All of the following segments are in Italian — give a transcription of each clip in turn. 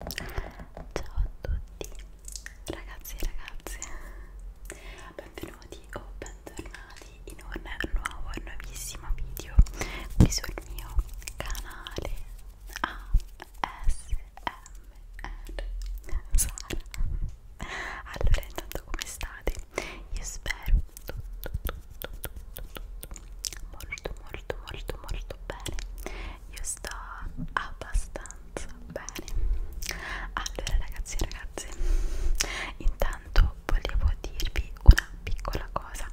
Ciao a tutti ragazzi e ragazze Benvenuti o bentornati in un nuovo e nuovissimo video qui sul mio canale ASMR Sara Allora intanto come state? Io spero tutto tutto tutto tutto molto molto molto molto molto bene io sto abbastanza bene allora ragazzi e ragazze intanto volevo dirvi una piccola cosa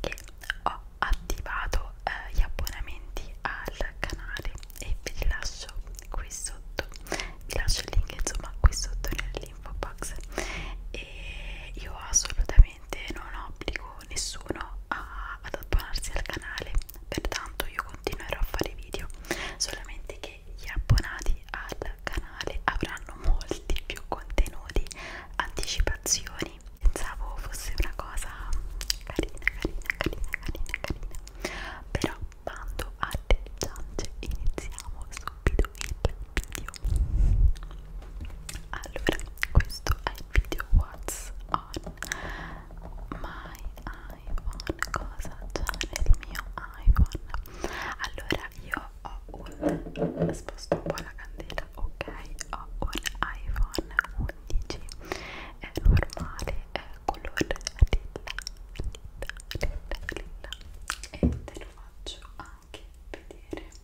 che ho attivato eh, gli abbonamenti al canale e ve li lascio qui sotto vi lascio il link insomma qui sotto nell'info box e io assolutamente non obbligo nessuno a, ad abbonarsi al canale pertanto io continuerò a fare video solamente che gli abbonati al canale avranno molti più contenuti anticipazioni pensavo fosse una cosa carina carina carina carina carina però bando alle ciance iniziamo subito il video allora questo è il video whatsapp on my iPhone cosa c'è nel mio iPhone allora io ho un sposto un po' la candela ok ho un iPhone 11 è normale è colore lilla lilla lilla e te lo faccio anche vedere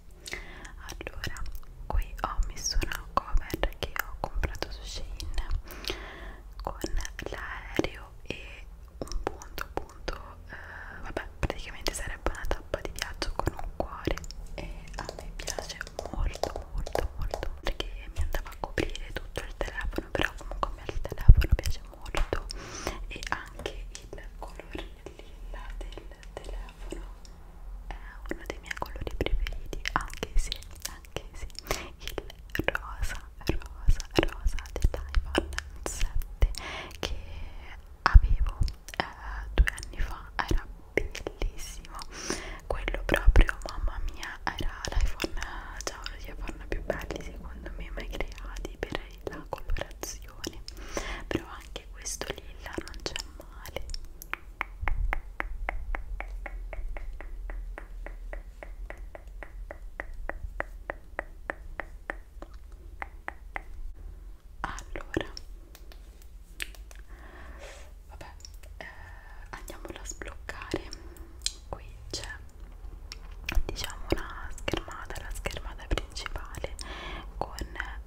allora qui ho messo una cover che ho comprato su Shein con l'aereo e un punto punto eh, vabbè praticamente sarebbe una tappa di viaggio con un cuore e a me piace molto molto molto perché mi andava a coprire tutto il telefono però comunque a me il telefono piace molto e anche il colore lilla del telefono telefono è uno dei miei colori preferiti anche se, anche se il rosa, rosa, rosa dell'iPhone 7 che avevo eh, due anni fa era bellissimo quello proprio mamma mia era l'iPhone già uno degli iPhone più belli secondo me mai creati per la colorazione però anche questo lilla non c'è male allora, vabbè, eh, andiamola a sbloccare. Qui c'è diciamo una schermata, la schermata principale principale con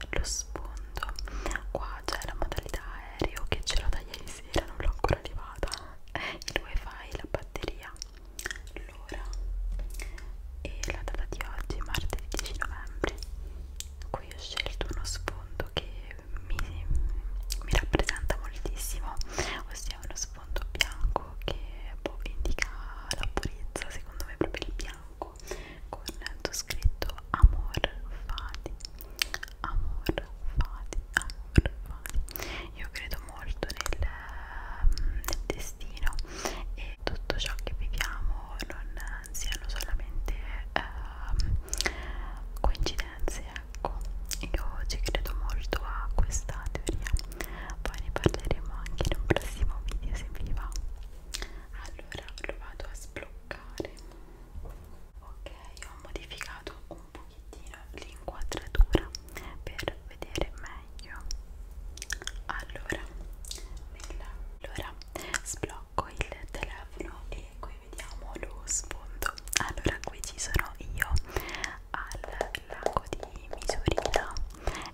lo sfondo qua c'è la modalità aereo che c'era da ieri sera non l'ho ancora arrivata il wifi la batteria l'ora e la data di oggi martedì 10 novembre qui ho scelto uno sfondo che mi, mi rappresenta moltissimo ossia uno sfondo bianco che boh, indica la purezza secondo me proprio il bianco bianco con scritto amor fati amor fati amor fati io credo molto nel, nel destino e tutto ciò che viviamo non siano solamente eh, coincidenze ecco io ci credo molto a questa teoria poi ne parleremo anche in un prossimo video se vi va allora lo vado a sbloccare ok ho modificato un pochettino l'inquadratura per vedere meglio allora, nella... allora sblocco il telefono e qui vediamo lo sfondo allora qui ci sono io al lago di Misurina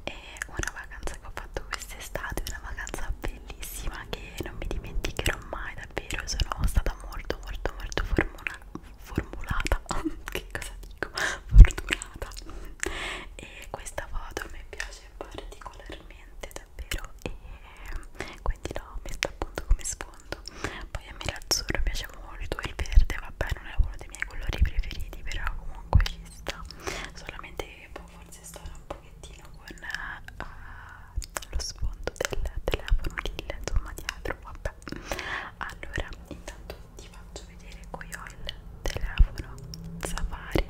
e una vacanza che ho fatto quest'estate, una vacanza bellissima che non mi dimenticherò mai davvero, sono stata molto molto molto formula formulata, che cosa dico? Fortunata e questa foto mi piace particolarmente davvero e quindi l'ho messa appunto come sfondo poi a me l'azzurro piace molto il verde vabbè non è uno dei miei colori preferiti però comunque ci sta solamente che boh, forse sto un po' fogliettino con uh, lo sfondo del telefono Lille, insomma dietro, vabbè allora intanto ti faccio vedere qui ho il telefono Safari,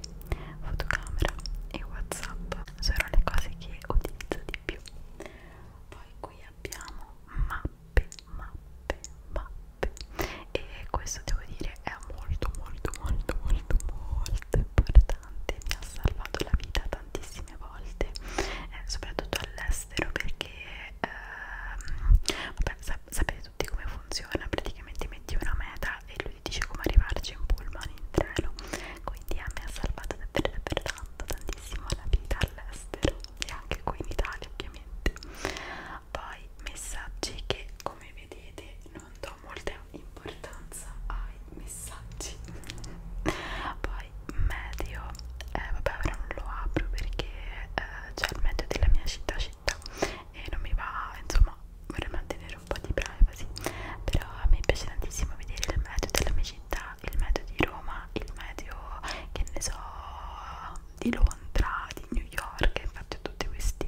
fotocamera e Whatsapp sono le cose che utilizzo di più poi qui abbiamo mappe, mappe, mappe e questo devo dire è molto molto molto molto molto importante mi ha salvato la vita tantissime volte eh, soprattutto all'estero perché ehm, vabbè, sap sapete tutti come funziona praticamente metti una meta e lui ti dice come arrivarci in pullman in treno quindi a me ha salvato davvero davvero tanto tantissimo la vita all'estero e anche qui in Italia ovviamente poi messaggi che come vedete non do do molta importanza ai messaggi poi medio eh, vabbè ora non lo apro perché eh, c'è il medio della mia città città e non mi va insomma vorrei mantenere un po' di privacy però a me piace tantissimo vedere il medio della mia città il medio di Roma il medio che ne so di Londra di New York infatti ho tutti questi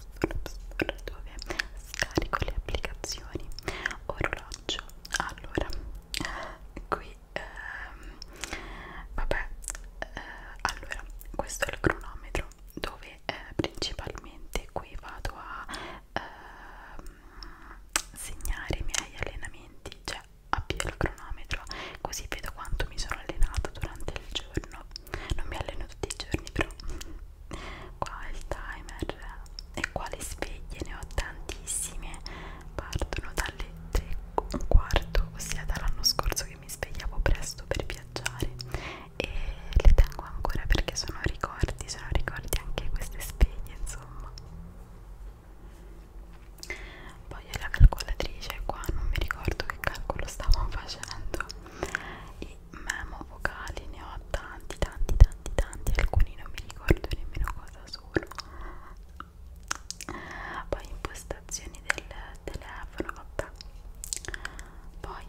dove scarico le applicazioni orologio allora qui ehm, vabbè eh, allora questo è il cronometro dove eh, principalmente qui vado a ehm, segnare i miei allenamenti cioè Avvio il cronometro così vedo quanto mi sono allenata durante il giorno. Non mi alleno tutti i giorni, però qua il timer e qua le sveglie ne ho tantissime partono dalle 3 un quarto ossia dall'anno scorso che mi svegliavo presto per viaggiare e le tengo ancora perché sono ricordi sono ricordi anche queste sveglie insomma poi ho la calcolatrice qua non mi ricordo che calcolo stavo facendo e memo vocali ne ho tanti tanti tanti tanti alcuni non mi ricordo nemmeno cosa sono poi impostazioni del telefono vabbè poi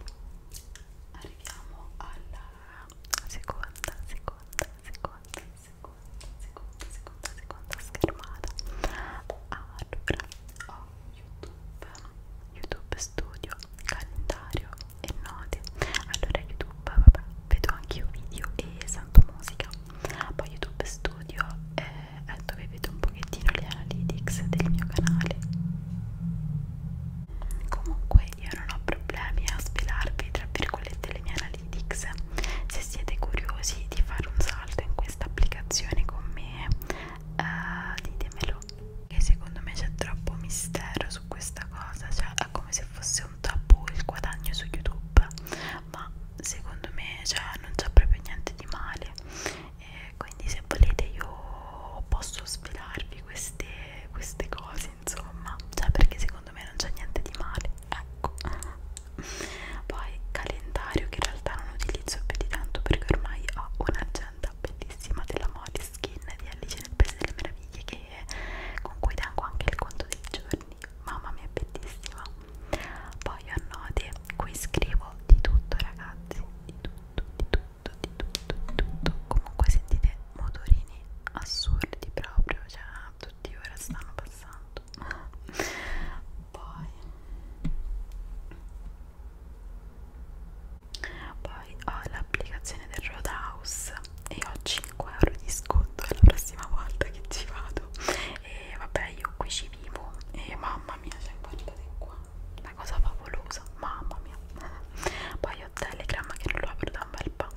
arriviamo alla seconda seconda seconda seconda seconda seconda, seconda schermata allora ho YouTube, YouTube Studio, calendario e note. Allora YouTube, vabbè, vedo anche io video e sento musica. Poi YouTube Studio è, eh, è dove vedo un pochettino le analytics del mio canale. Comunque io non ho problemi a svelarvi tra virgolette le mie analytics. Se siete curiosi di fare un salto in questa applicazione con me, eh, ditemelo vero che secondo me c'è troppo mistero su questa cosa cioè è come se fosse un tabù il guadagno su youtube ma secondo me cioè, non c'è proprio niente di male e quindi se volete io posso svelarvi queste, queste cose insomma cioè perché secondo me non c'è niente di male ecco poi calendario che in realtà non utilizzo più di tanto perché ormai ho un'agenda bellissima della moda skin di Alice nel Paese delle Meraviglie che, con cui tengo anche il conto dei giorni mamma mia è bellissima poi ho note qui scrivo di tutto ragazzi di tutto di tutto di tutto di tutto comunque sentite motorini assurdi proprio cioè tutti ora stanno passando poi poi ho l'applicazione del Roadhouse e ho 5 euro di sconto la prossima volta che ci vado e vabbè io qui ci vivo e mamma mia cioè guardate qua una cosa favolosa mamma mia poi ho Telegram che non lo apro da un bel po'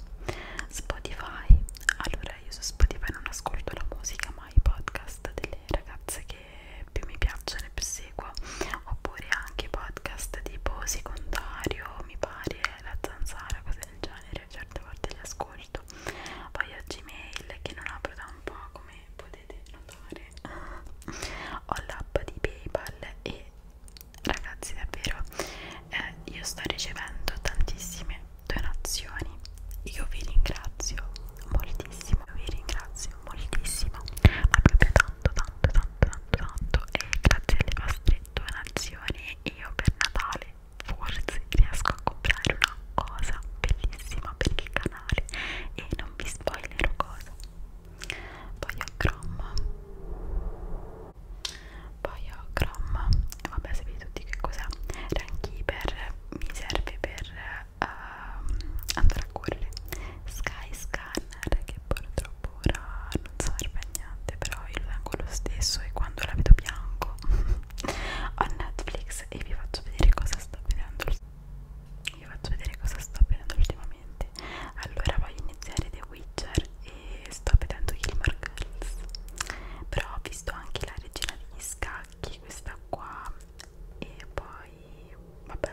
Spotify allora io su Spotify non ascolto la musica ma i podcast delle ragazze che che più mi piacciono e più seguo oppure anche podcast tipo secondario mi pare la zanzara cose del genere certe volte li ascolto poi ho gmail che non apro da un po' come potete notare ho l'app di paypal e ragazzi davvero eh, io sto ricevendo tantissime donazioni io vi ringrazio moltissimo vi ringrazio moltissimo ma proprio tanto tanto tanto tanto tanto e grazie alle vostre donazioni io per Natale forse riesco a comprare una cosa bellissima per il canale e non vi spoilerò cosa poi ho Chrome poi ho Chrome e vabbè sapete tutti che cos'è Rankeeper mi serve per ehm, andare a correre Sky Scanner che purtroppo ora non serve a niente però io lo tengo lo stesso e quando la vedo bianco ho Netflix e vi faccio vedere cosa sto vedendo vi faccio vedere cosa sto vedendo ultimamente allora voglio iniziare The Witcher e sto vedendo Gilmore Girls però ho visto anche la regina degli scacchi questa qua e poi vabbè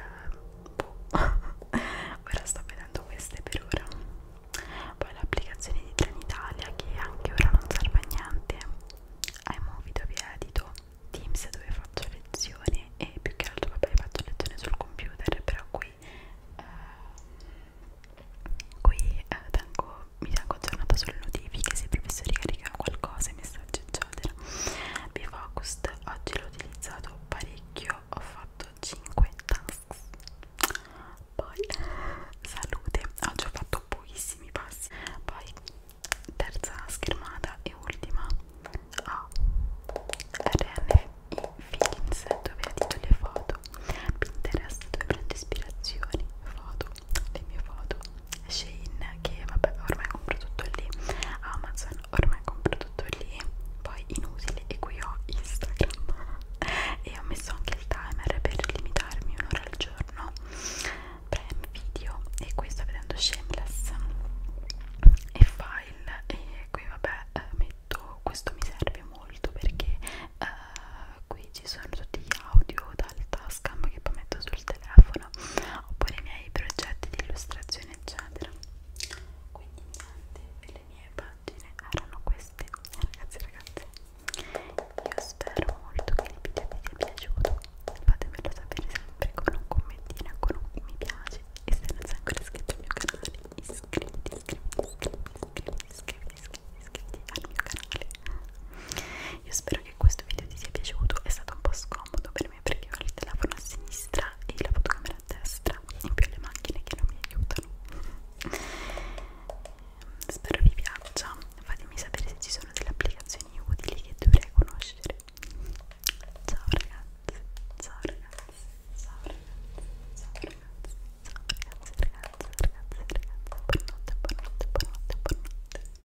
boh. ora sto vedendo queste per ora poi l'applicazione di Trenitalia che anche ora non serve a niente iMovie dove edito Teams dove faccio lezione e più che altro vabbè faccio lezione sul computer però qui eh, qui eh, tengo, mi tengo aggiornata sulle notifiche se i professori caricano qualcosa i messaggi eccetera Bifocust oggi l'ho utilizzato parecchio ho fatto 5 tasks poi salute oggi ho fatto pochissimi passi poi terza schermata e ultima a oh, RNI Feelings dove adito le foto Pinterest dove prendo ispirazioni foto le mie foto Shein che vabbè ormai compro tutto lì Amazon ormai compro tutto lì poi inutili e qui ho Instagram e ho messo anche il timer per limitarmi un'ora al giorno prem video e qui sto vedendo shameless e file e qui vabbè eh, metto questo mi serve molto perché uh, qui ci sono tutti gli audio dal tascam che poi metto su sul telefono oppure i miei progetti di illustrazione eccetera quindi niente, le mie pagine erano queste ragazzi ragazze io spero molto che il video vi sia piaciuto fatemelo sapere sempre con un commentino con un mi piace e se non sei ancora iscritto al mio canale iscriviti iscriviti iscriviti iscriviti iscriviti, iscriviti, iscriviti al mio canale io spero che questo video ti sia piaciuto, è stato un po' scomodo per me perché ho il telefono a sinistra e la fotocamera a destra, in più le macchine che non mi aiutano. Spero vi piaccia, fatemi sapere se ci sono delle applicazioni utili che dovrei conoscere. Ciao ragazzi, ciao ragazzi, ciao ragazzi, ciao ragazzi, ciao ragazzi, ragazzi, ragazzi, ragazzi, buonanotte, buonanotte, buonanotte, buonanotte.